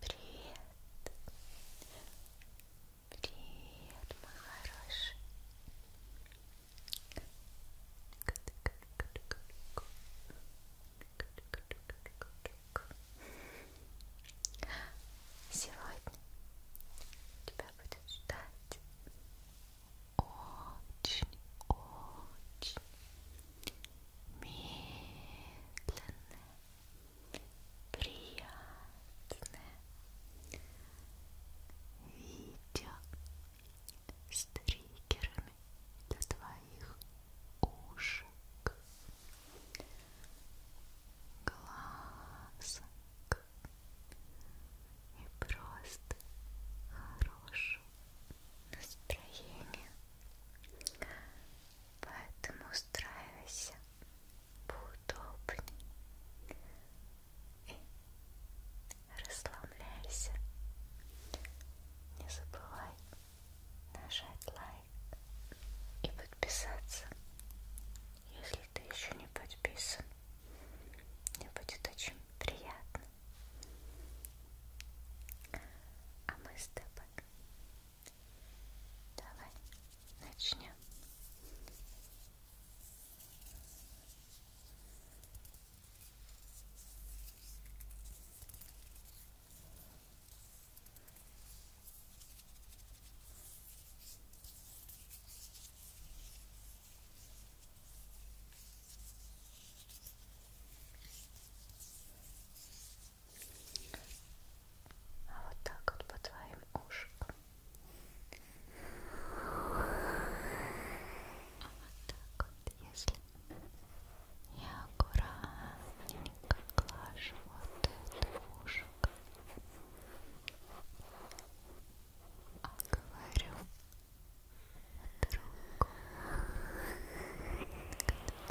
Привет. Привет, мой хороший. Сегодня тебя будет ждать очень-очень медленное, приятное видео с триггерами для твоих ушек, глазок и просто хорошего настроение. Поэтому устраивайся поудобнее и расслабляйся. Не забывай нажать лайк и подписаться, если ты еще не подписан. Мне будет очень приятно. А мы с тобой так, давай начнем. Так, а вот так вот по твоим ушкам. А вот так вот, если я аккуратненько глажу вот это ушко. А говорю другу. Так, так, так.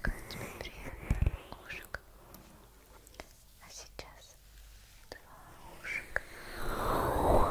Как тебе приятно, ушек? А сейчас два ушек. Ушек.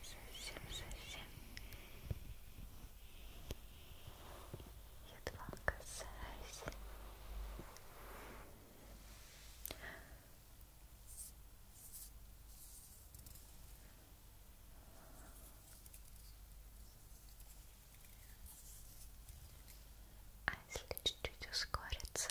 совсем, совсем едва касаюсь. А если чуть-чуть ускориться?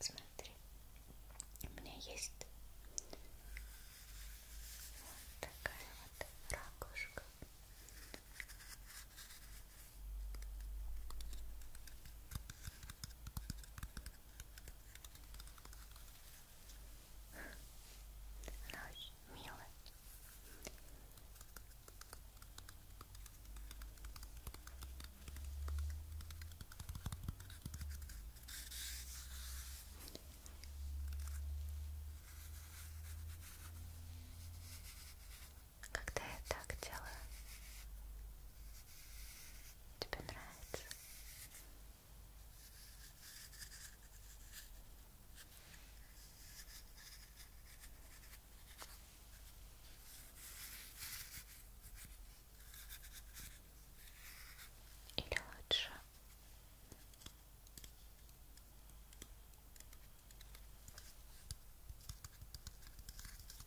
Смотри, у меня есть вот такая вот ракушка. Она очень милая. Когда я так делаю, тебе нравится? Или лучше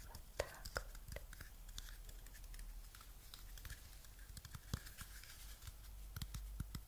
вот так вот.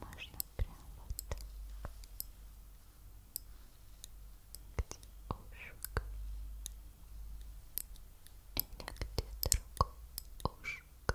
Можно прямо вот так. Где ушко? Или где другое ушко?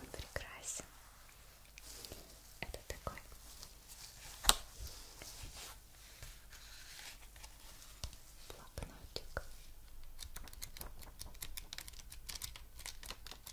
Он прекрасен. Это такой блокнотик.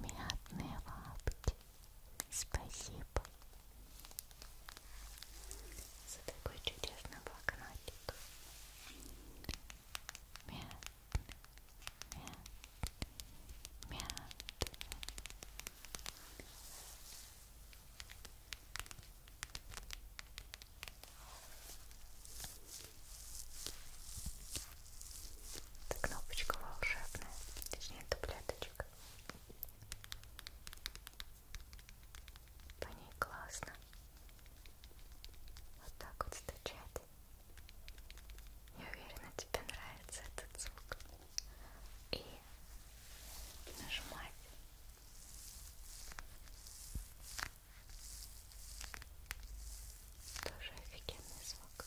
Мятные лапти. Спасибо за такой чудесный блокнотик. Мятный, мятный мят это кнопочка волшебная, точнее таблеточка. По ней классно. Вот так вот стучать. Я уверена, тебе нравится этот звук и нажимать. Тоже офигенный звук.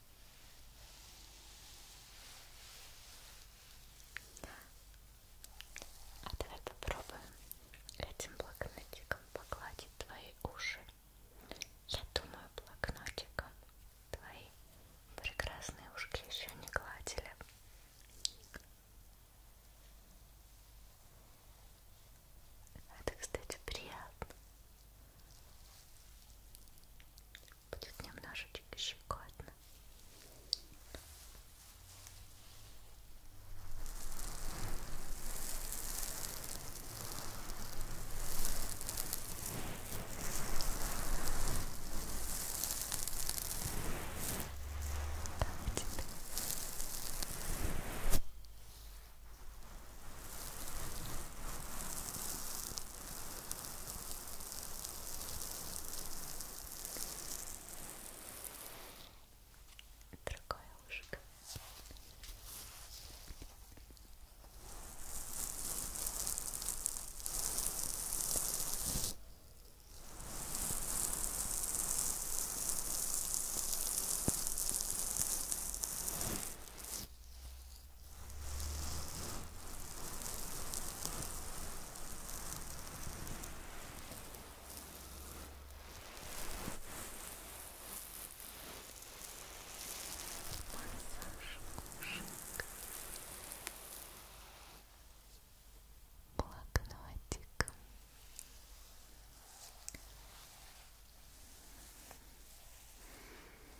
А давай попробуем этим блокнотиком погладить твои уши. Я думаю, блокнотиком твои прекрасные ушки еще не гладили. Это, кстати, приятно будет немножечко щекотно. Как тебе? Другое ушко. Массаж ушек. Блокнотик. Ушки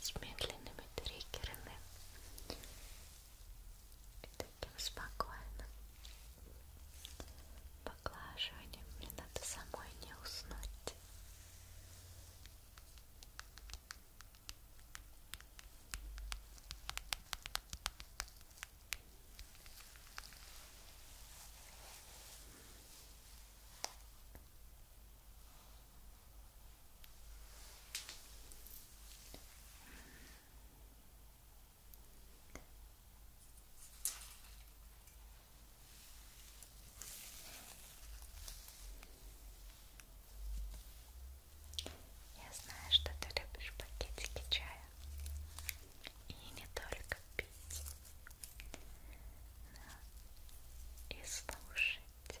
с медленными триггерами и таким спокойным поглаживанием. Мне надо самой не уснуть. Я знаю, что ты любишь пакетики чая и не только пить, но и слушать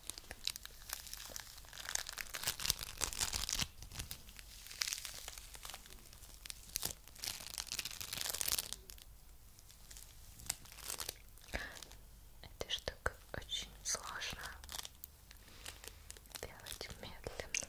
Эта штука очень сложно делать медленно.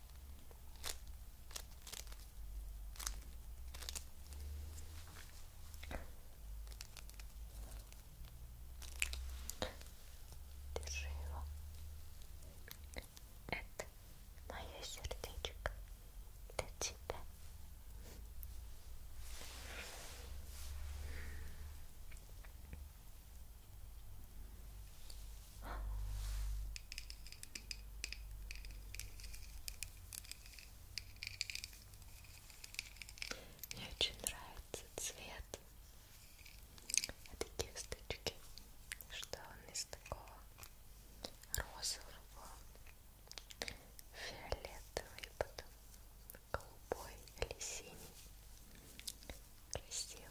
Держи его. Это мое сердечко для тебя. Мне очень нравится цвет этой а кисточки, что он из такого розового, фиолетовый, потом голубой или синий. Красиво.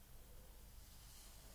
И это уже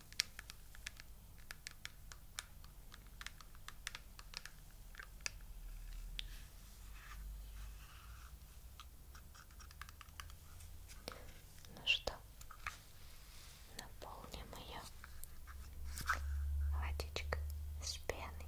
Ну что, наполним ее водичкой с пеной.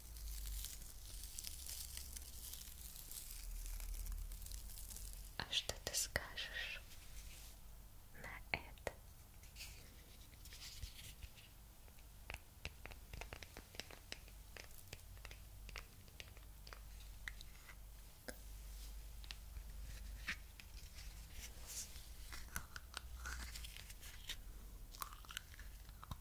А что ты скажешь на это?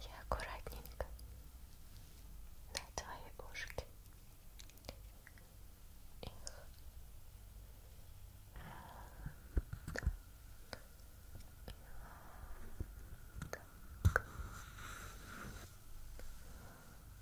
Я аккуратненько на твои ушки их так. Так.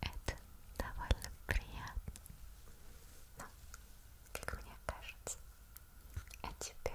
Это довольно приятно, но, как мне кажется, а тебе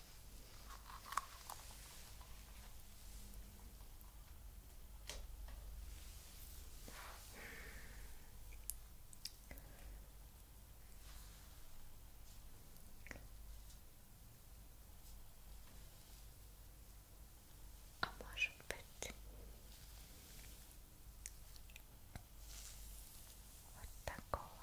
А может быть вот такого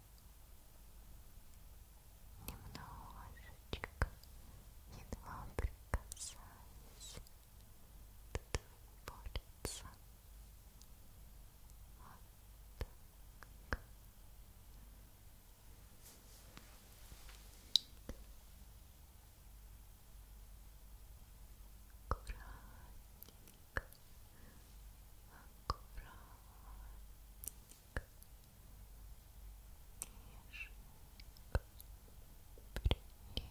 немножечко, едва прикасаясь до твоего лица. Вот так. Аккуратненько, аккуратненько а теперь по ушкам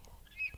Хорошо.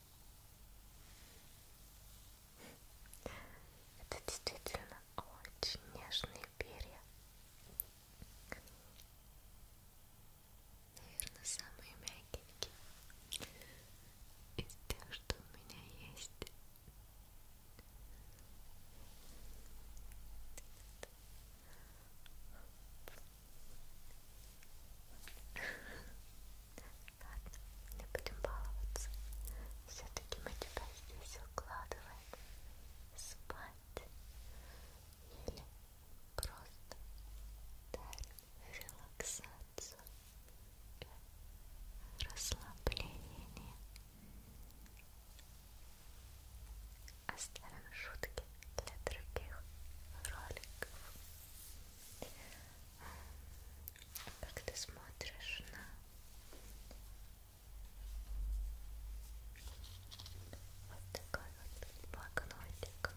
Это действительно очень нежные перья. Наверное, самые мягенькие из тех, что у меня есть. Ладно, не будем баловаться. Все-таки мы тебя здесь укладываем спать или просто дарим релаксацию и расслабление. Оставим шутки для других роликов. Как ты смотришь на вот такой вот блокнотик?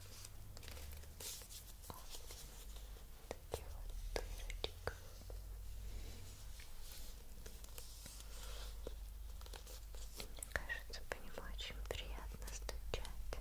Вот такие вот дырочки. Мне кажется, по нему очень приятно стучать.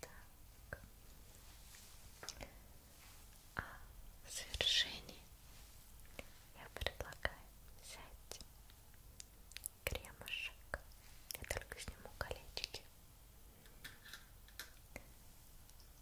Так. А в завершении я предлагаю взять кремушек. Я только сниму колечки.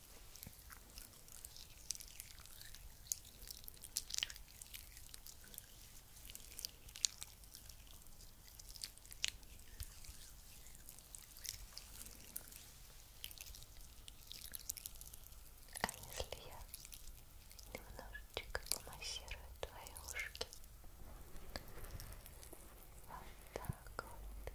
А если я немножечко помассирую твои ушки? Вот так вот.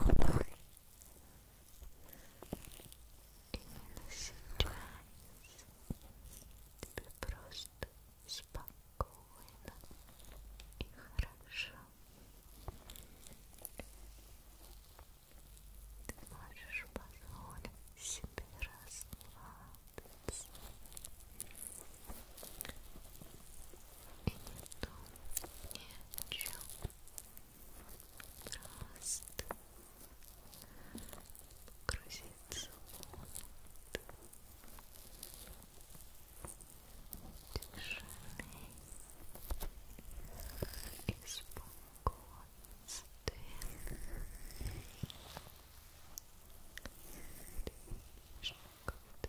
тебе просто спокойно и хорошо. Ты можешь позволить себе расслабиться. Раз. И потом ничего. Просто погрузиться вот. Тишины и спокойствия. Дыши как-то